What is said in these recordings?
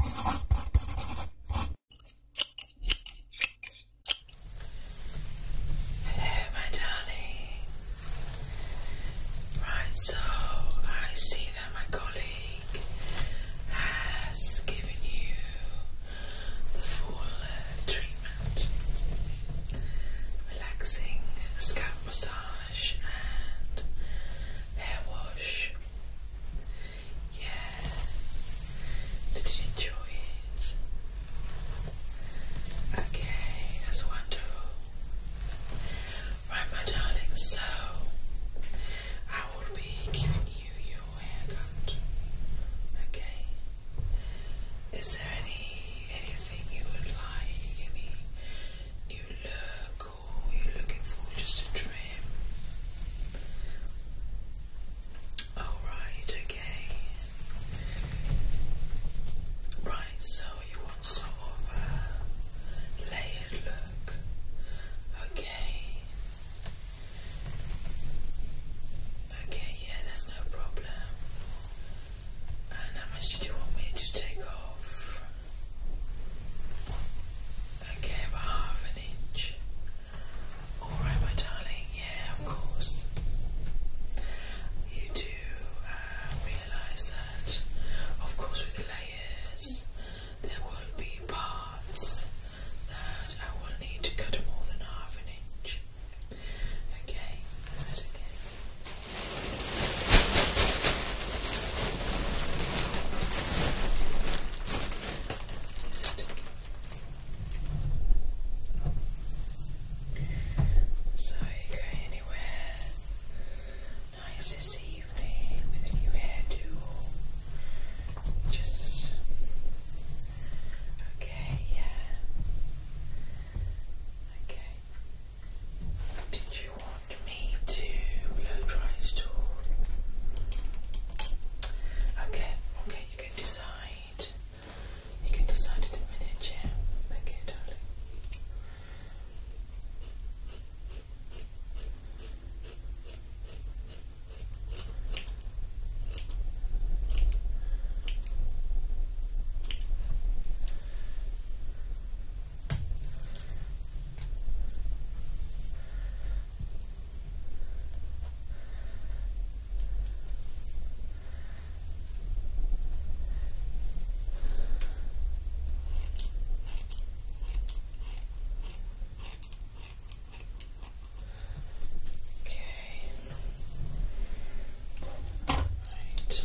Hello, my darling. Right, so I see that my colleague has given you the full uh, treatment relaxing scalp massage and hair wash. Yeah. Did you enjoy it? Okay, that's wonderful. Right, my darling, so I will be giving you your haircut. Okay. Is there any anything you would like? Any new look you're looking for just a trim. Alright, okay. Right, so you want sort of a layered look. Okay. Okay, yeah, that's no problem. And how much did you want me to take off? I gave half an inch. Alright, my darling, yeah, of course. You do uh, realise that, of course, with the layers, there will be parts that I will need to cut more than half an inch. Okay, is that okay? So you anywhere nice this evening with a new hairdo? Just okay, yeah. Okay. Did you want want me to blow dry it all? Okay, okay, you can decide. You can decide in a minute, yeah. Okay, darling. Okay. Right. It's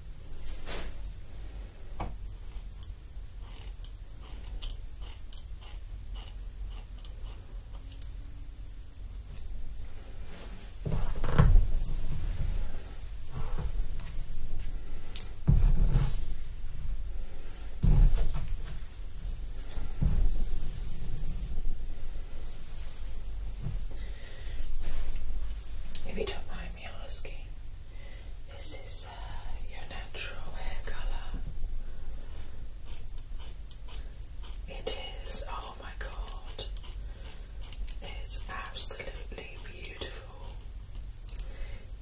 If you don't mind asking, is this uh, your natural hair color? It is, oh my god, it's absolutely beautiful.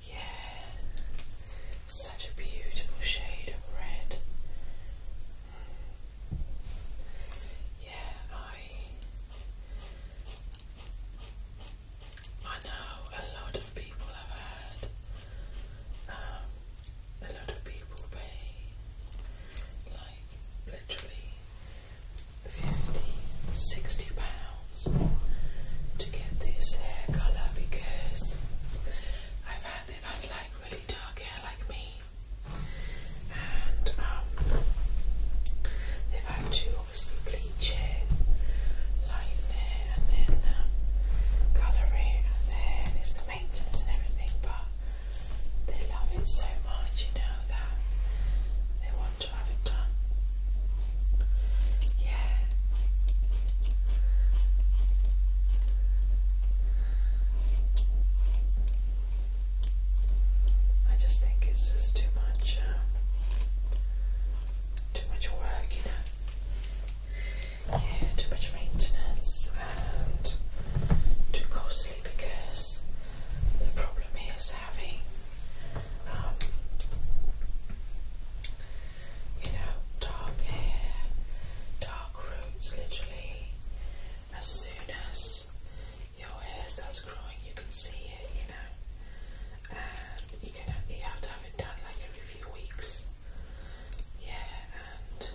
Yeah, such a beautiful shade of red. Yeah, I I know a lot of people have had um, a lot of people pay like literally 50, 60 pounds to get this hair colour because I've had they've had like really dark hair like me and um, they've had to obviously bleach it, lighten it, and then um, colour it, and then it's the maintenance and everything. But they love it so much, you know, that they want to have it done. Yeah. I just think it's just too much, um, too much work, you know. Yeah, too much maintenance and too costly because the problem is having, um, you know, dark hair, dark roots, literally as soon as your hair starts growing, you can see it, you know, and you can have, you have to have it done like every few weeks. Yeah, and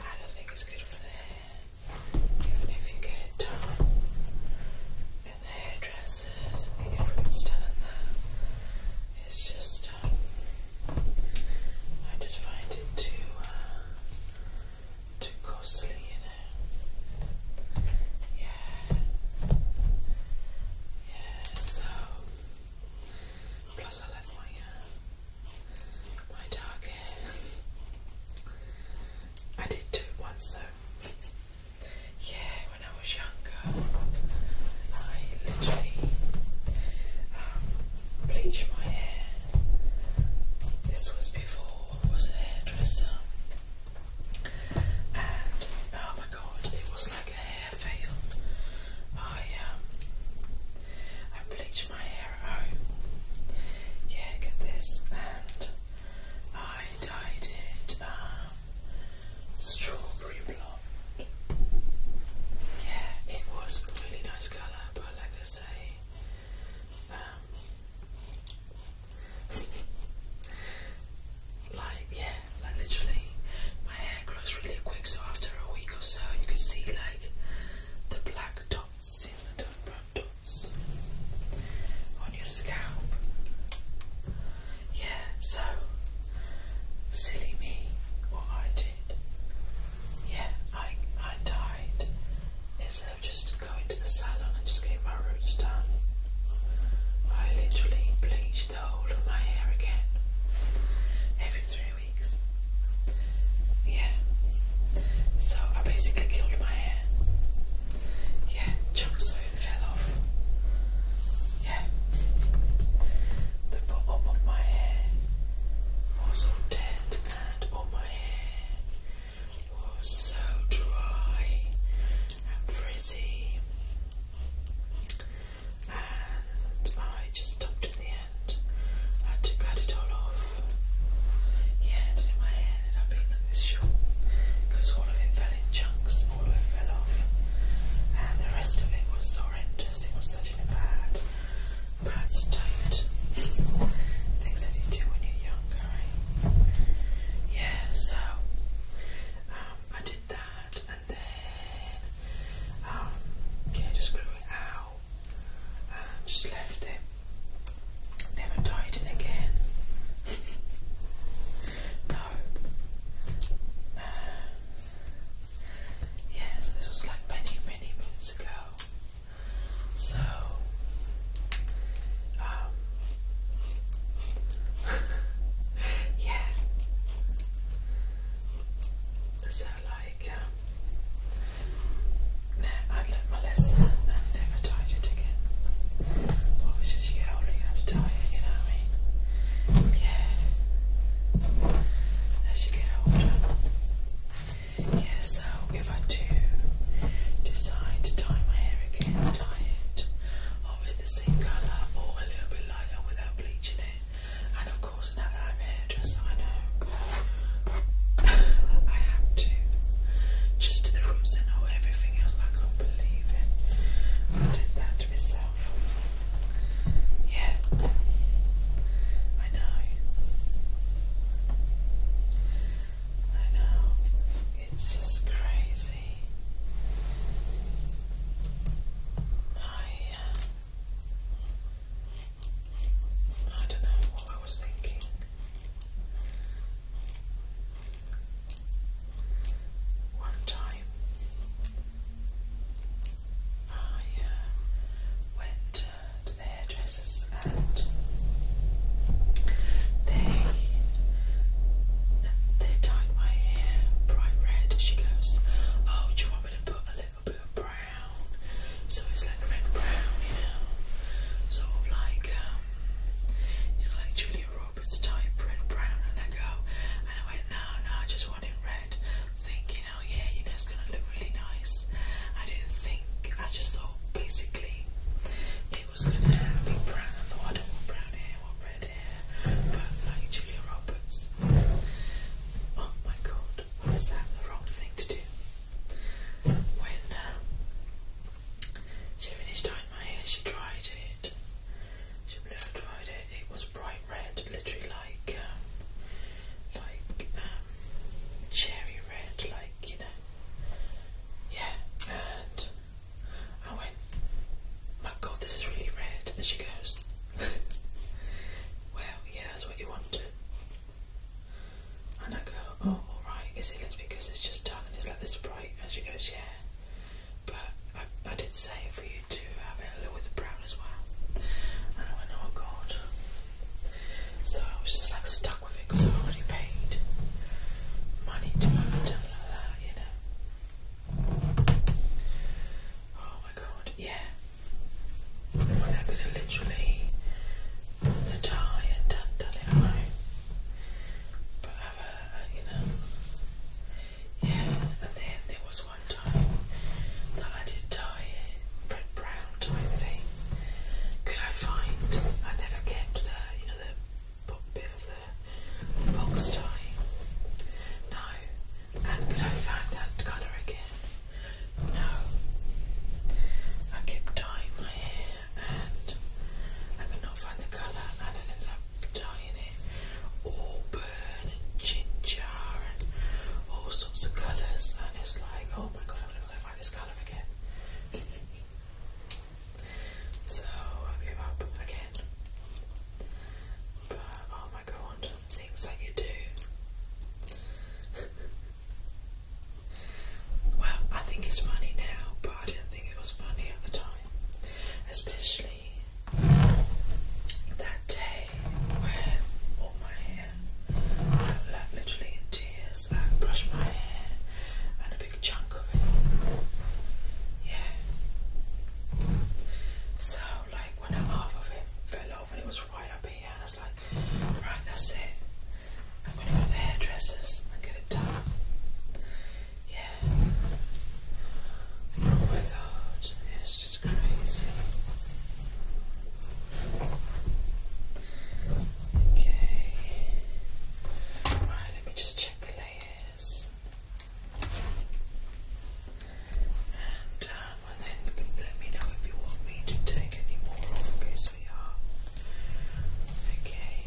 I don't think it's good for the hair, even if you get it done in the hairdressers and the roots done and that. It's just, um, I just find it too. Uh, too costly, you know. Yeah. Yeah, so plus I like my uh, my dark hair. I did do it once so yeah, when I was younger I literally um, bleached my hair. This was before was a hairdresser, and oh my god, it was like a hair field. I um, I bleached my hair at home. Yeah, get this, and I dyed it um, strawberry blonde. Yeah, it was really nice colour, but like I say. Um, like yeah, like literally, my hair grows really quick. So after a week or so, you can see like the black dots, you know, brown dots on your scalp. Yeah, so silly me, what I did. Yeah, I I died instead of just go into the salon and just get my roots done. I literally bleached the whole of my hair again every three weeks. Yeah. So I basically killed my hair. Yeah, chunks of it fell off. Yeah. The bottom of my hair was all dead and all my hair was so dry and frizzy, and I just stopped at the end. I had to cut it all off. Yeah, and in my hair ended up being like this shawl because all of it fell in chunks, all of it fell off, and the rest of it was horrendous. It was such a bad that's tight. Things you do when you're younger, right? Yeah, so um, I did that and then um, yeah, just grew it out and um, just left it. Never dyed it again. no. Uh, yeah, so this was like many, many months ago. So, um, yeah. So, like, um, I'd my lesson and never dyed it again. Obviously, as you get older, you have to dye it, you know what I mean? Yeah, as you get older, yeah, so if I do decide to dye my hair again, dye it always the same colour or a little bit lighter without bleaching it. And of course, now that I'm a hairdresser, I know I have to just do the roots and all everything else. I can't believe it. I did that to myself. Yeah. I know. I know. It's just crazy. I, uh, I don't know what I was thinking. One time I uh, went to the hairdressers and they they dyed my hair bright red. She goes, Oh, do you want me to put a little bit of brown? So it's like red brown, you know, sort of like um, you know, like Julia Roberts type red brown. And I go, and I went, No, no, I just want it red, thinking you yeah, you know, it's gonna look really nice. I didn't think, I just thought basically it was gonna be brown. I thought I don't want brown hair, I want red hair, but like Julia Roberts. Oh my god, was that the wrong thing to do? When um, she finished dyeing my hair, she dried it. She blew dried it, it was bright red, literally like. Um, like um, cherry red, like you know, yeah. And I went, my God, this is really red. And she goes, Well, yeah, that's what you wanted. And I go, Oh, all right. Is it? It's because it's just done and it's like this bright. And she goes, Yeah. But I, did say for you to have it a little with the brown as well. And I went, oh god. So I was just like stuck with it because I already paid money to have done that, you know. Oh my god, yeah. I could have literally put the tie and done, done it But have a, you know, yeah. And then there was one time that I did tie it, print brown around type thing. Could I find? I never kept the you know the bit of the box tie. No. And could I find that colour again? No. I kept dyeing my hair and I could not find the colour and I ended up dyeing it auburn and ginger and all sorts of colours and it's like oh my god I've don't this color again. so I give up again. oh my god, things that you do. well, I think it's funny now, but I didn't think it was funny at the time. Especially that day day all my hair, I'm like literally in tears, I brushed my hair and a big chunk of it. Yeah. So like when half of it fell off and it was right up here, I was like, right, that's it. I'm gonna go to the hairdressers and get it done. Yeah. Oh my god, just crazy. Okay. Right, let me just check the layers. And, um, and then let me know if you want me to take any more Okay, so yeah. Okay. Okay.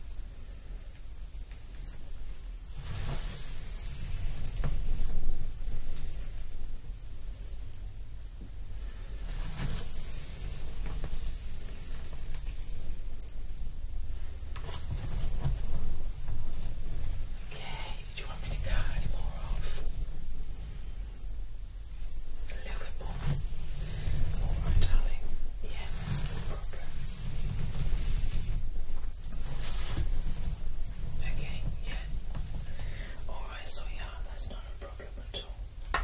Okay, do you want me to cut any more off? A little bit more. Alright, darling. Yeah, no problem. Okay, yeah. Alright, so yeah, that's not a problem at all.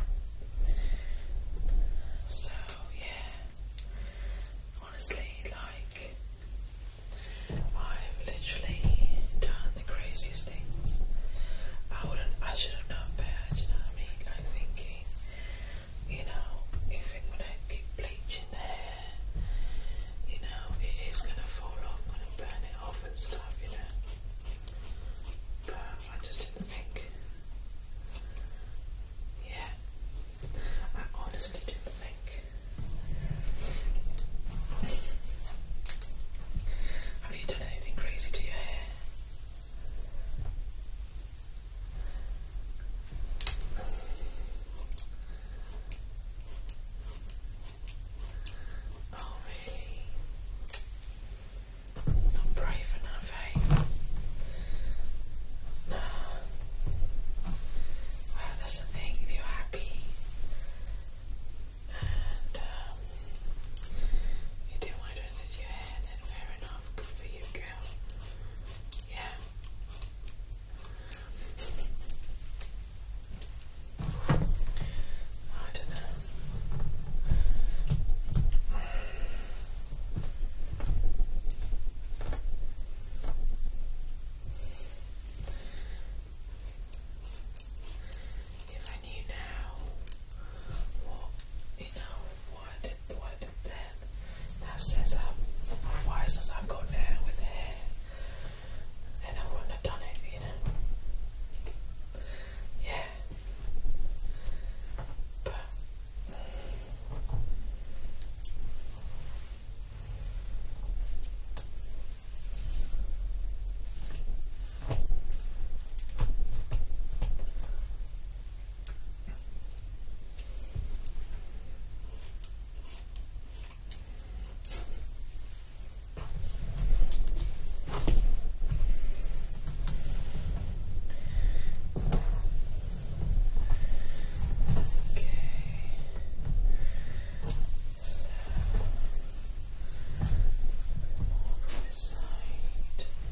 So, yeah. Honestly, like, I've literally done the craziest things. I wouldn't, I should have known you know what I mean? Like, thinking, you know, if I'm gonna keep bleaching the hair, you know, it is gonna fall off, gonna burn it off and stuff, you know. But I just didn't think. Yeah, I honestly didn't think. Have you done anything crazy to your hair? Oh, really? Not brave enough, eh? No. Well, that's the thing, if you're happy and um, you do want to do this with your fair Good for you, girl. Yeah. I don't know. I knew what you know what then. Now since I've why since I've got now with the hair I wouldn't have done it, you know. Yeah. So, more from this side.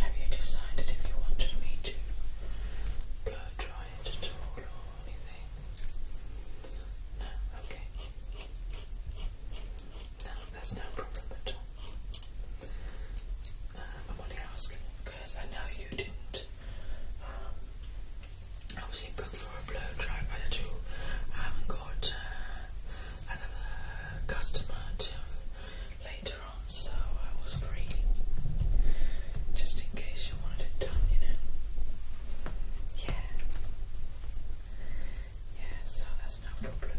Have you decided if you wanted me to blow dry it at all or anything? No, okay. No, that's no problem at all. Uh, I'm only asking because I know you didn't um, I was booked for a blow dry manager. I haven't got uh, another customer till later on, so I was free just in case you wanted it done, you know. Yeah, yeah, so that's no problem.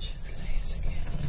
Check the again.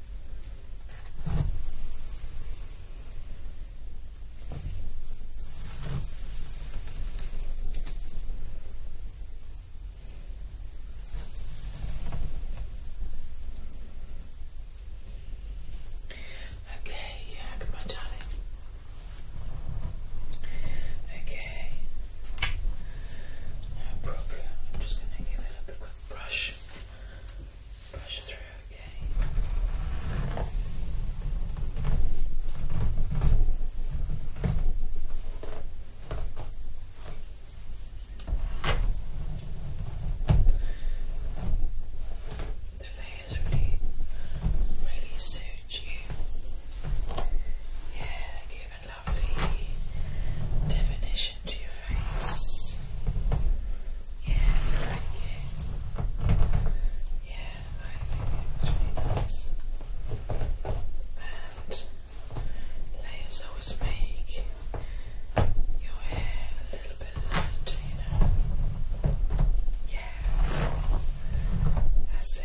Okay, you happy, my darling? Okay, no problem. I'm just going to give it a quick brush. Push it through, okay. The layers really, really suit you. Yeah, given lovely definition to your face. Yeah, I like it. Yeah, I think it really nice. And layers always make your hair a little bit lighter, Yeah, that's it.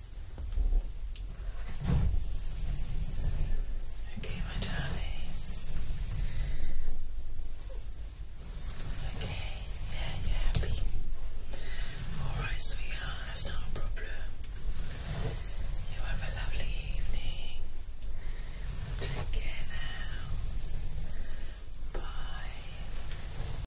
Okay, my darling. Okay, yeah, you're happy. Alright, sweetheart, that's not a problem. have a lovely evening. Take care now. Bye.